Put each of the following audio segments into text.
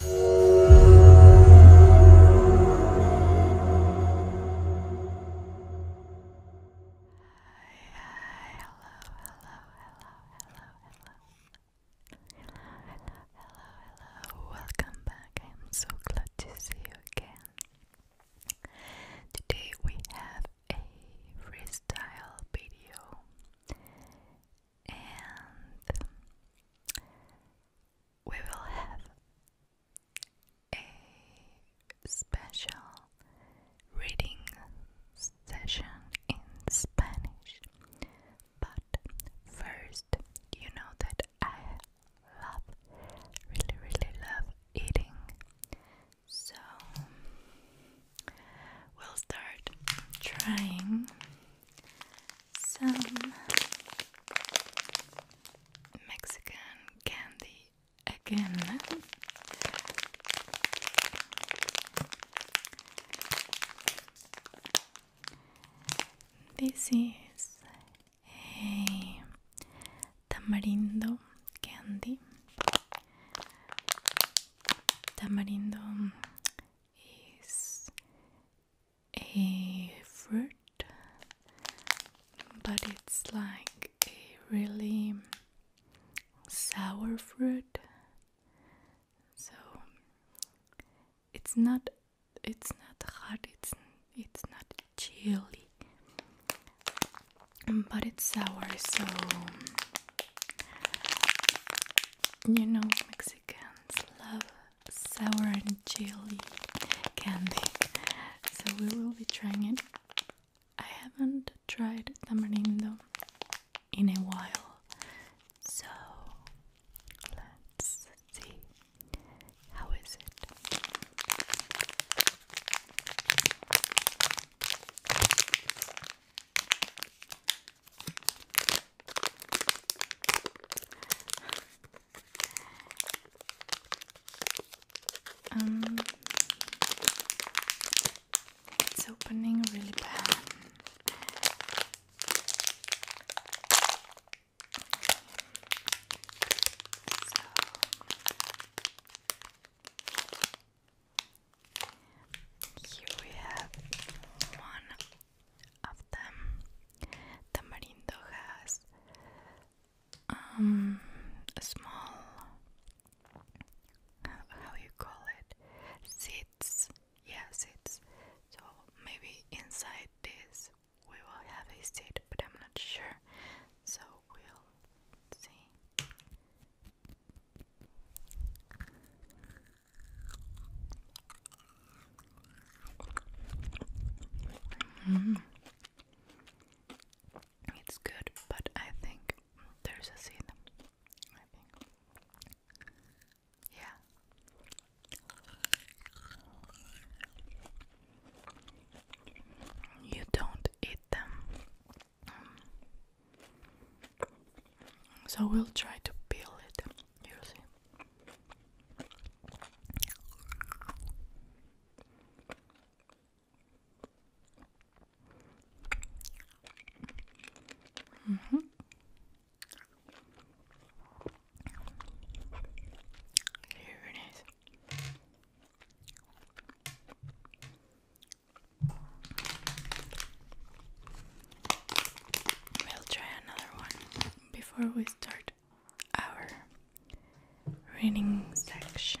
hello, welcome back. I am so glad to see you again. Today we have a freestyle video and we will have a special reading session in Spanish. But first, you know that I love, really, really love eating so we'll start trying some Mexican candy again. This is a tamarindo candy Tamarindo is a fruit, but it's like a really sour fruit, so it's not it's not hot. It's it's not chilly but it's sour, so you know Mexicans love sour and chili candy, so we will be trying it. I haven't tried tamarindo in a while, so let's see how is it. Um, it's opening really bad. Here we have one of them. Tamarindo has um, a small, how you call it, seeds. Yeah, seeds. So maybe inside this we will have a seed, but I'm not sure. So we'll see. Mm-hmm. It's good, but I think there's a seed. Yeah. You don't eat them so we'll try to peel it. You see. Mm-hmm. Here it is. We'll try another one before we start our reading section.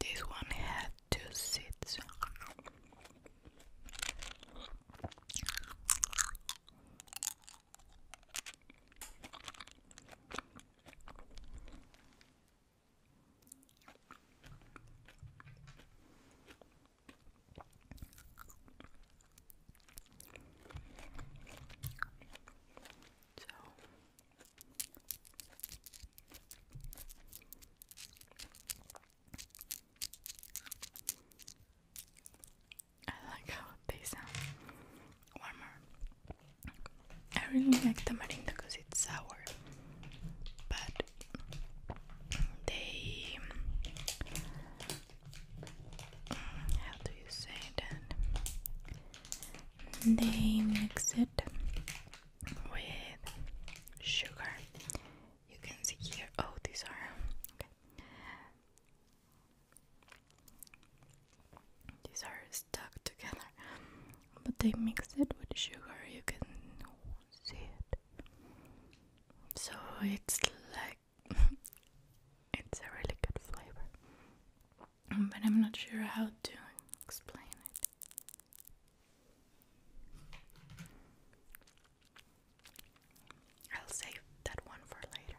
This one had two seats. I like how they sound warmer. I really like tamarindo because it's sour, but they mm, how do you say that they mix it with sugar you can see here oh these are these are stuck together but they mix it with sugar you can see it so it's like it's a really good flavor, but I'm not sure how to explain it. I'll save that one for later.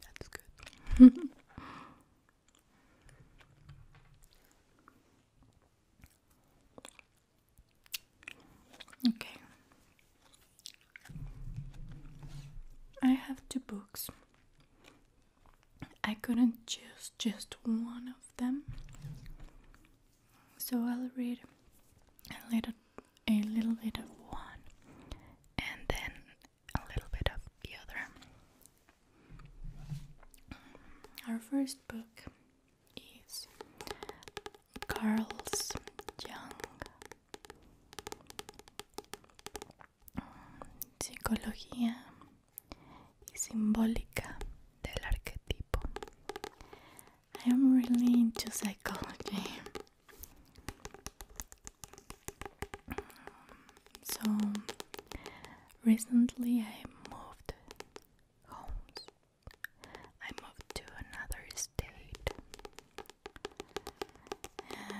That's good. okay. I have two books. I couldn't choose just one of them, so I'll read a little, a little bit of one, and then a little bit of the other. Our first book is Carl's Young psicología y simbólica del arquetipo. I am really into psychology. So recently I moved homes. I moved to another state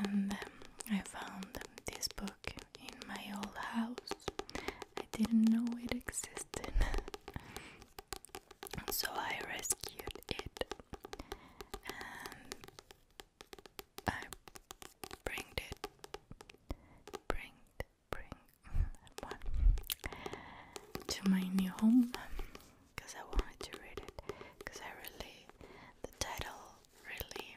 and um, I found this book in my old house. I didn't know it existed. so I rescued it and I bringed it. Bringed, bring to my new home because I wanted to read it because I really the title really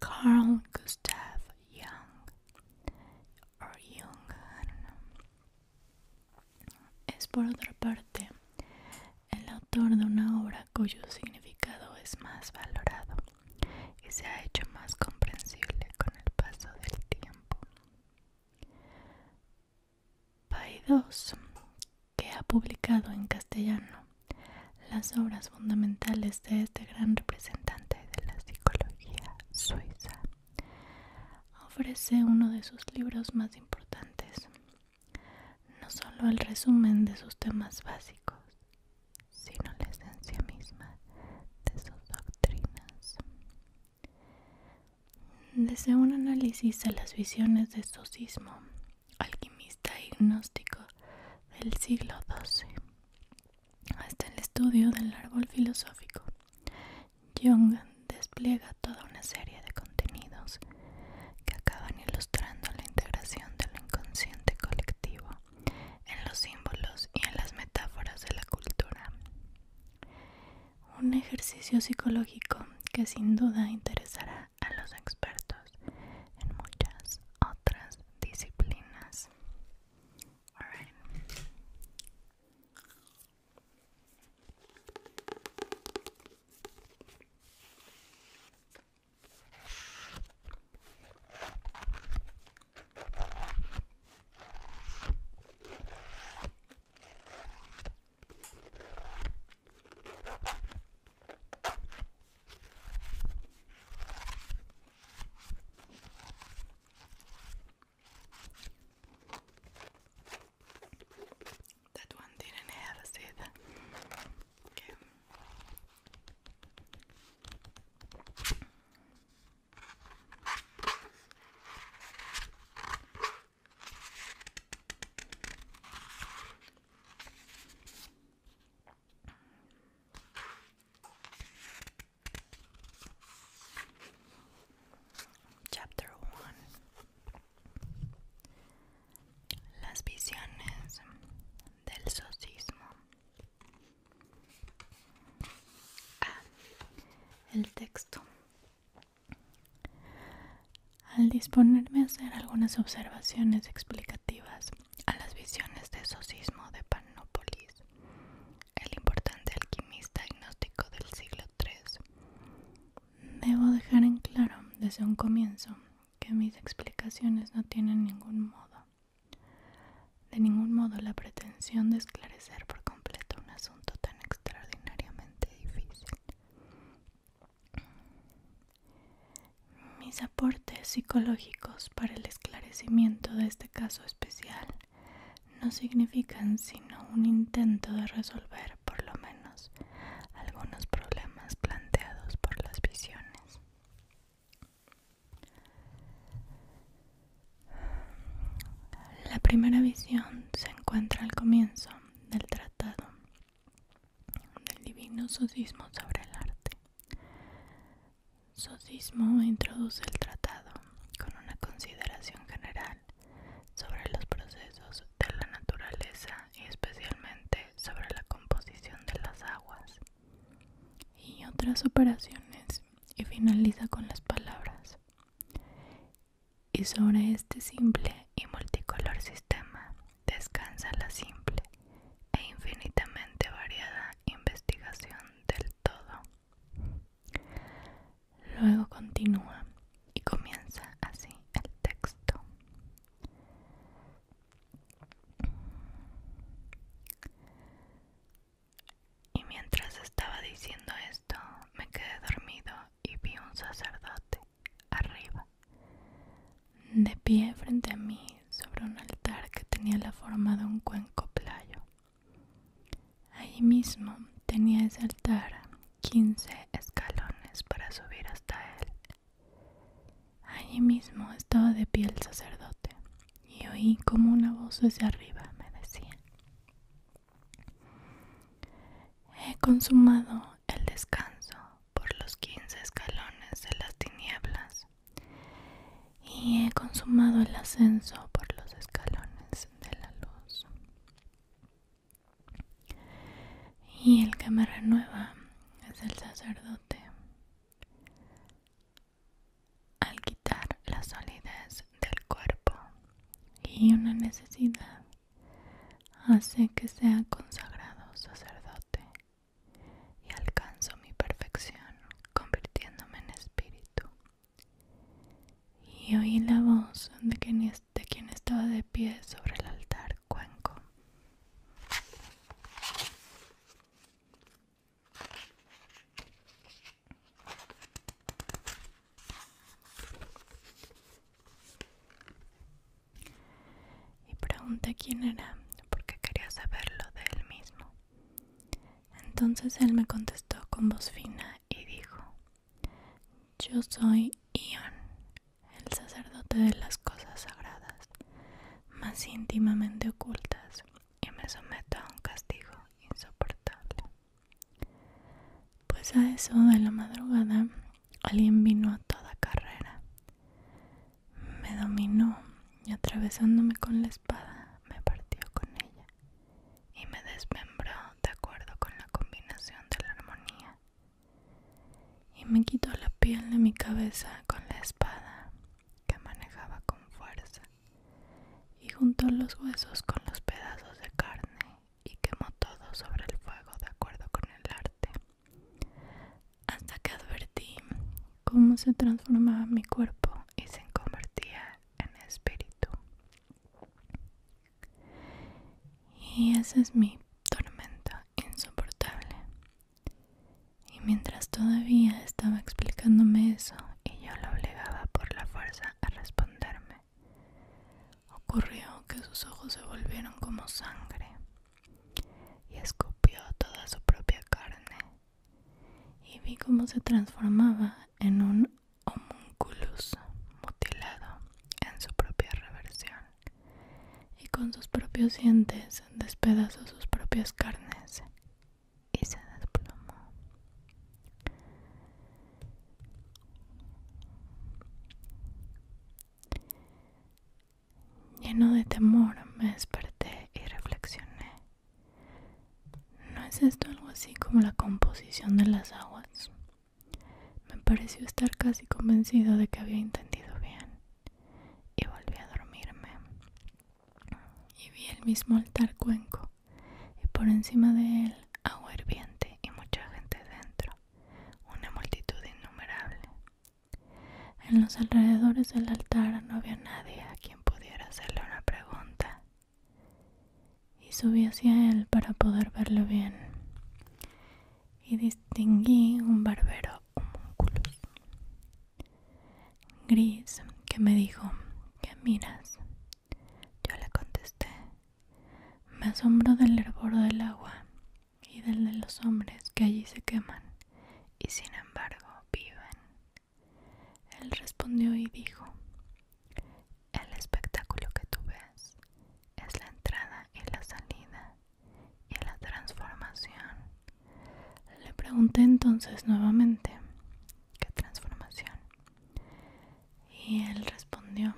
Carl Gustav Jung Jung, Es por otra parte el autor de una obra cuyo significado es más valorado y se ha hecho más comprensible con el paso del tiempo. Paidós, que ha publicado en castellano las obras fundamentales de este gran representante de la psicología suiza ofrece uno de sus libros más importantes, no solo el resumen de sus temas básicos, sino la esencia misma de sus doctrinas. Desde un análisis a las visiones de Sucismo, alquimista y gnóstico del siglo XII, hasta el estudio del árbol filosófico. Jung despliega toda una serie de contenidos que acaban ilustrando la integración del inconsciente colectivo en los símbolos y en las metáforas de la cultura. Un ejercicio psicológico que sin duda interesará a los expertos en muchas otras disciplinas. All right. That one didn't have a seed. Okay. Chapter 1 Las visiones del socismo ah, El texto Al disponerme a hacer algunas observaciones explicativas a las visiones de Sosismo de Panópolis, el importante alquimista agnóstico del siglo III. Debo dejar en claro desde un comienzo que mis explicaciones no tienen ningún modo, de ningún modo la pretensión de esclarecer por completo un asunto tan extraordinariamente difícil. Mis aportes psicológicos para el esclarecimiento de este caso especial no significan sino un intento de resolver por lo menos algunos problemas planteados por las visiones. La primera visión se encuentra al comienzo del tratado del divino sudismo sobre el arte. Sosismo introduce el tratado con una consideración general sobre los procesos de la naturaleza y especialmente sobre la composición de las aguas y otras operaciones y finaliza con las palabras y sobre este simple y multicolor sistema descansa la simple e infinitamente variada investigación del todo. Luego continúa y comienza así el texto. Y mientras estaba diciendo esto, me quedé dormido y vi un sacerdote arriba de pie frente a mí sobre un altar que tenía la forma de un cuenco playo. Allí mismo tenía ese altar 15 escalones para subir hasta él. Allí mismo estaba de pie el sacerdote y oí como una voz desde arriba me decía, he consumado el descanso por los 15 escalones de las tinieblas y he consumado el ascenso por los escalones de la luz. Y el que me renueva es el sacerdote. Al quitar la solidez del cuerpo y una necesidad, hace que sea consagrado sacerdote y alcanzo mi perfección convirtiéndome en espíritu. Y oí la voz de quien, estaba de pie sobre el altar cuenco y pregunté quién era porque quería saberlo de él mismo. Entonces él me contestó con voz fina y dijo, yo soy Ion, el sacerdote de las cosas sagradas, más íntimamente ocultas, y me someto a un castigo insoportable. Pues a eso de la madrugada alguien vino a toda carrera me dominó y atravesándome con la espada me partió con ella y me desmembró de acuerdo con la combinación de la armonía y me quitó la piel de mi cabeza con la espada que manejaba con fuerza y juntó los huesos con los pedazos de carne y quemó todo sobre el fuego de acuerdo con el arte hasta que advertí cómo se transformaba mi cuerpo y se convertía en espíritu. Y esa es mi tormenta insoportable. Y mientras todavía estaba explicándome eso y yo lo obligaba por la fuerza a responderme, ocurrió que sus ojos se volvieron como sangre y escupió toda su propia carne y vi cómo se transformaba en un homunculus mutilado en su propia reversión y con sus propios dientes despedazó sus propias carnes y se desplomó. Lleno de temor me desperté y reflexioné. ¿No es esto algo así como la composición de las aguas? Me pareció estar casi convencido de que había entendido bien y volví a dormirme. Y vi el mismo altar cuenco y por encima de él agua hirviente y mucha gente dentro, una multitud innumerable. En los alrededores del altar no había nadie a quien pudiera hacerle una pregunta. Y subí hacia él para poder verlo bien. Y distinguí un barbero homúnculus gris que me dijo, ¿qué miras? Yo le contesté. Me asombró del hervor del agua y del de los hombres que allí se queman y sin embargo viven. Él respondió y dijo, el espectáculo que tú ves es la entrada y la salida y la transformación. Le pregunté entonces nuevamente, ¿qué transformación? Y él respondió,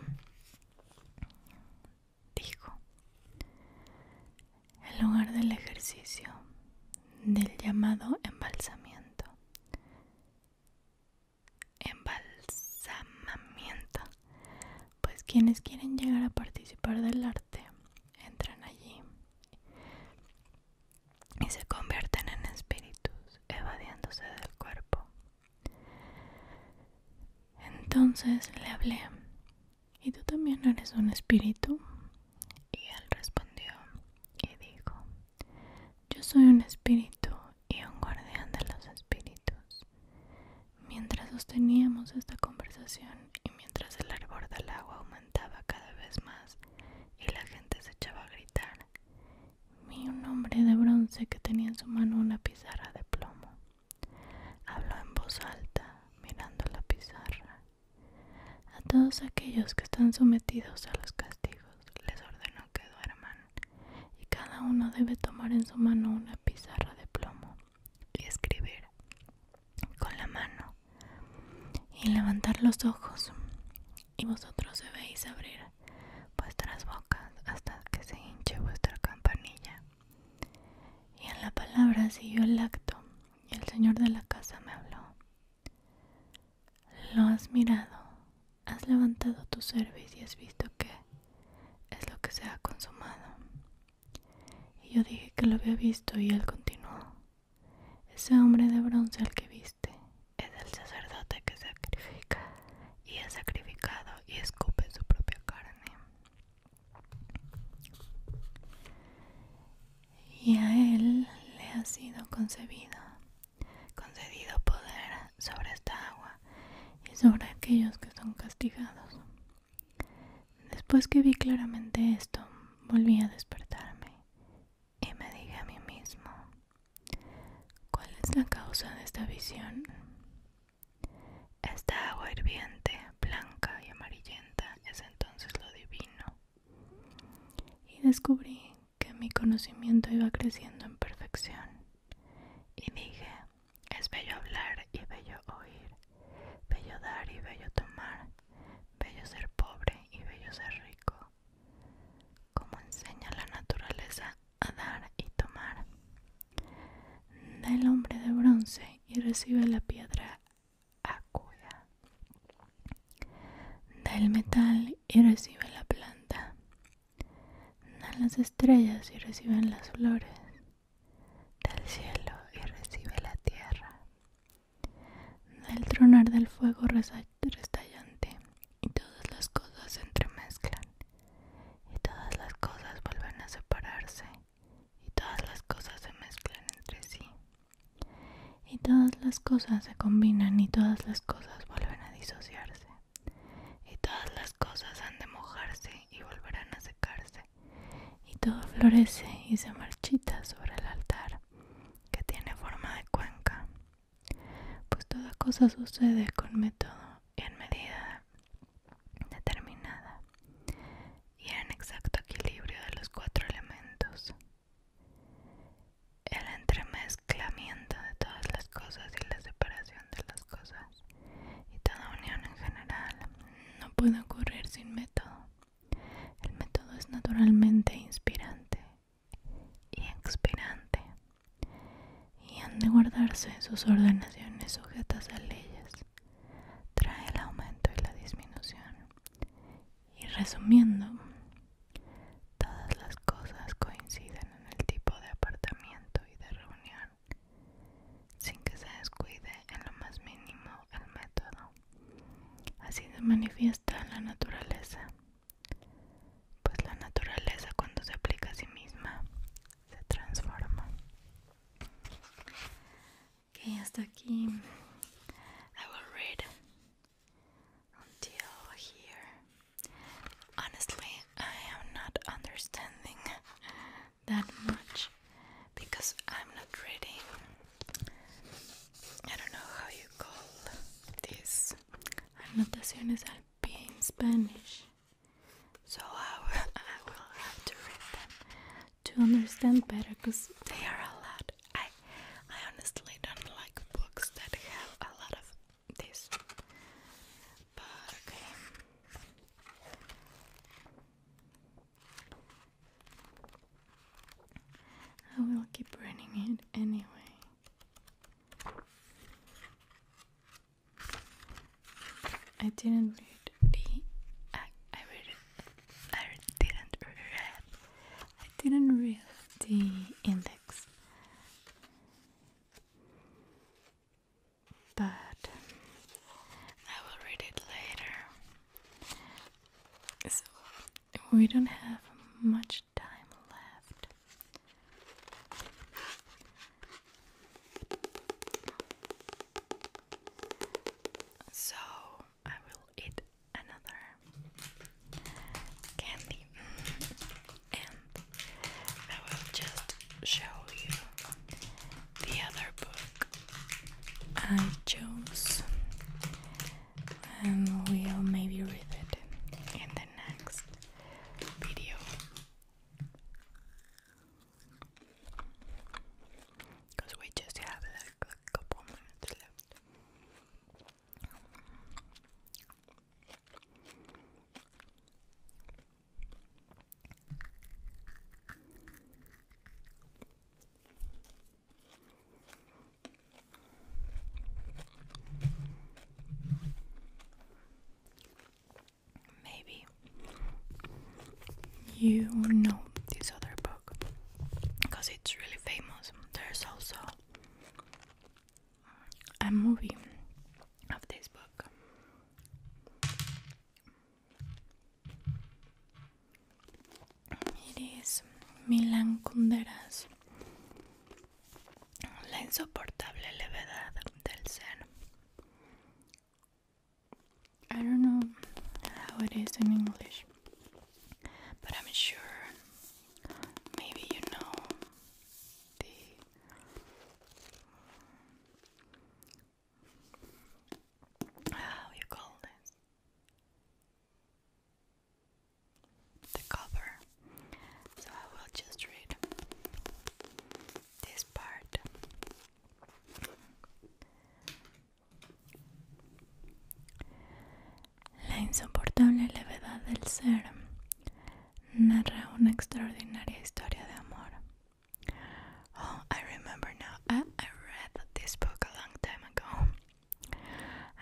dijo, el lugar del ejercicio, del llamado embalsamiento. Embalsamamiento. Pues quienes quieren llegar a participar del arte entran allí y se convierten en espíritus evadiéndose del cuerpo. Entonces le hablé ¿Y tú también eres un espíritu? Y él respondió y dijo, yo soy un espíritu y un guardián de los espíritus. Mientras sosteníamos esta conversación y mientras el arbor del agua aumentaba cada vez más y la gente se echaba a gritar, vi un hombre de bronce que tenía en su mano una pizarra de plomo. Habló en voz alta, mirando la pizarra. A todos aquellos que están sometidos a los castigos les ordeno que duerman, y cada uno debe tomar en su mano una pizarra de plomo y escribir con la mano y levantar los ojos, y vosotros debéis abrir vuestras bocas hasta que se hinche vuestra campanilla. Y en la palabra siguió el acto y el señor de la casa me habló. Lo has mirado, has levantado tu cerviz y has visto que es lo que se ha consumado. Y yo dije que lo había visto y él continuó. Ese hombre de bronce al que viste es el sacerdote que sacrifica y ha sacrificado y escupe su propia carne y a él le ha sido concebido, concedido poder sobre esta agua y sobre aquellos que son castigados. Después que vi claramente esto, volví a despertarme y me dije a mí mismo, ¿cuál es la causa de esta visión? Esta agua hirviente blanca y amarillenta es entonces lo divino. Y descubrí que mi conocimiento iba creciendo en perfección. Y dije, es bello hablar y bello oír, bello dar y bello tomar, bello ser pobre y bello ser rico. Como enseña la naturaleza a dar y tomar. Da el hombre de bronce y recibe la piedra acuda. Da el metal y recibe la planta. Da las estrellas y reciben las flores. Da el cielo y recibe la tierra. Da el tronar del fuego restallante y todas las cosas se entremezclan y todas las cosas vuelven a separarse y todas las cosas se mezclan entre sí y todas las cosas se combinan y todas las cosas vuelven a disociarse y todas las cosas han de mojarse y volverán a secarse y todo florece y se marchita sobre el altar que tiene forma de cuenca pues toda cosa sucede con método y en medida determinada y en exacto equilibrio de los cuatro elementos. El entremezclamiento de todas las cosas y la separación de las cosas y toda unión en general no puede ocurrir sin método. El método es naturalmente inspirante y expirante y han de guardarse sus ordenaciones sujetas a leyes trae el aumento y la disminución. Y resumiendo, todas las cosas coinciden en el tipo de apartamento y de reunión, sin que se descuide en lo más mínimo el método. Así se manifiesta la naturaleza, pues la naturaleza cuando se aplica a sí misma se transforma. Ok, hasta aquí. I will read until here. Honestly, I am not understanding that much because I'm not reading. I don't know how you call this. Anotaciones al Spanish. So I will have to read them to understand better because they are a lot. I I honestly don't like books that have a lot of this. But I will keep running it anyway. I didn't read the I read I didn't read I didn't read the index but I will read it later. So we don't have much time left. So I will eat another candy and I will just show you the other book I chose and we'll maybe read it in the next video. Because we just have like a couple minutes left maybe you know this other book because it's really famous. There's also a movie of this book. It is Milan Kundera's La insoportable levedad del ser. I don't know how it is in English, but I'm sure maybe you know how you call this the cover. So I will just read this part La insoportable levedad del ser narra una extraordinaria historia de amor. Oh, I remember now. I read this book a long time ago,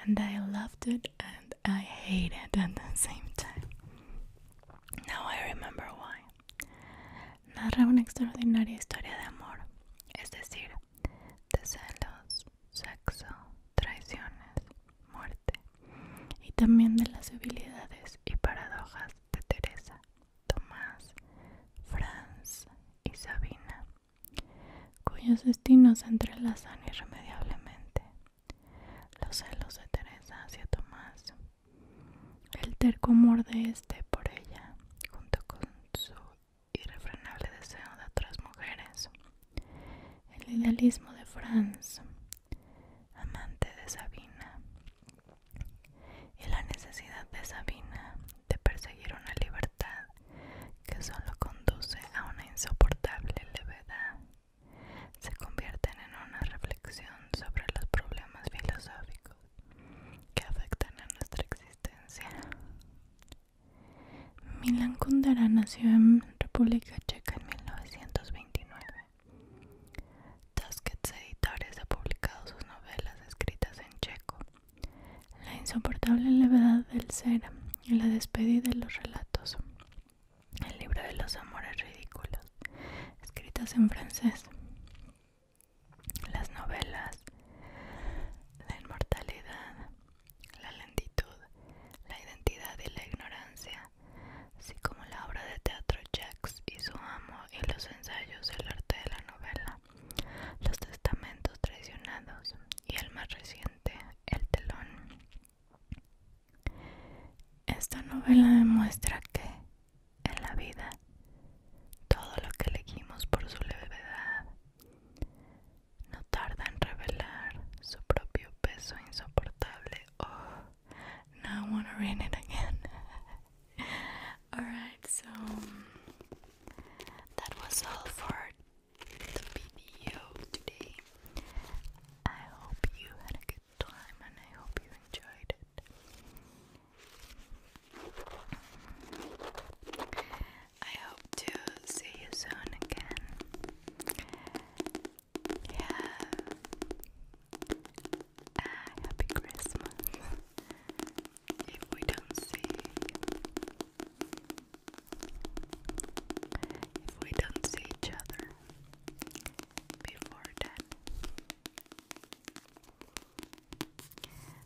and I loved it and I hated it at the same time. Now I remember why. Narra una extraordinaria historia de amor, es decir, de celos, sexo, traiciones, muerte y también de las debilidades y paradojas de Teresa, Tomás, Franz y Sabina, cuyos destinos se entrelazan irremediablemente. Los celos de Teresa hacia Tomás el terco amor de este por ella, junto con su irrefrenable deseo de otras mujeres. El idealismo de Franz, amante de Sabina. Y la necesidad de Sabina de perseguir una libertad que solo conduce a una insoportable levedad se convierten en una reflexión sobre los problemas filosóficos que afectan a nuestra existencia. Milan Kundera nació en República Checa en 1929. Tuskets Editores ha publicado sus novelas escritas en checo. La insoportable levedad del ser y la despedida de los relatos. El libro de los amores ridículos, escritas en francés las novelas, la inmortalidad, la lentitud, la identidad y la ignorancia, así como la obra de teatro Jacks y su amo y los ensayos del arte de la novela, los testamentos traicionados y el más reciente, El telón. Esta novela demuestra que en la vida todo lo que elegimos por su levedad no tarda en revelar su propio peso insoportable. Oh, now I want to read it again. Alright, so that was all for the video today. I hope you had a good time and I hope you enjoyed I hope to see you soon again. Have a ah, happy Christmas if we don't see if we don't see each other before that.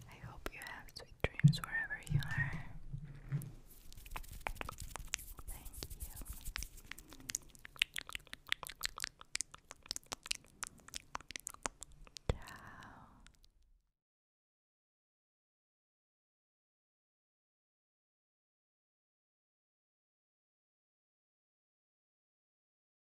I hope you have sweet dreams wherever you are. Thank you. Ciao.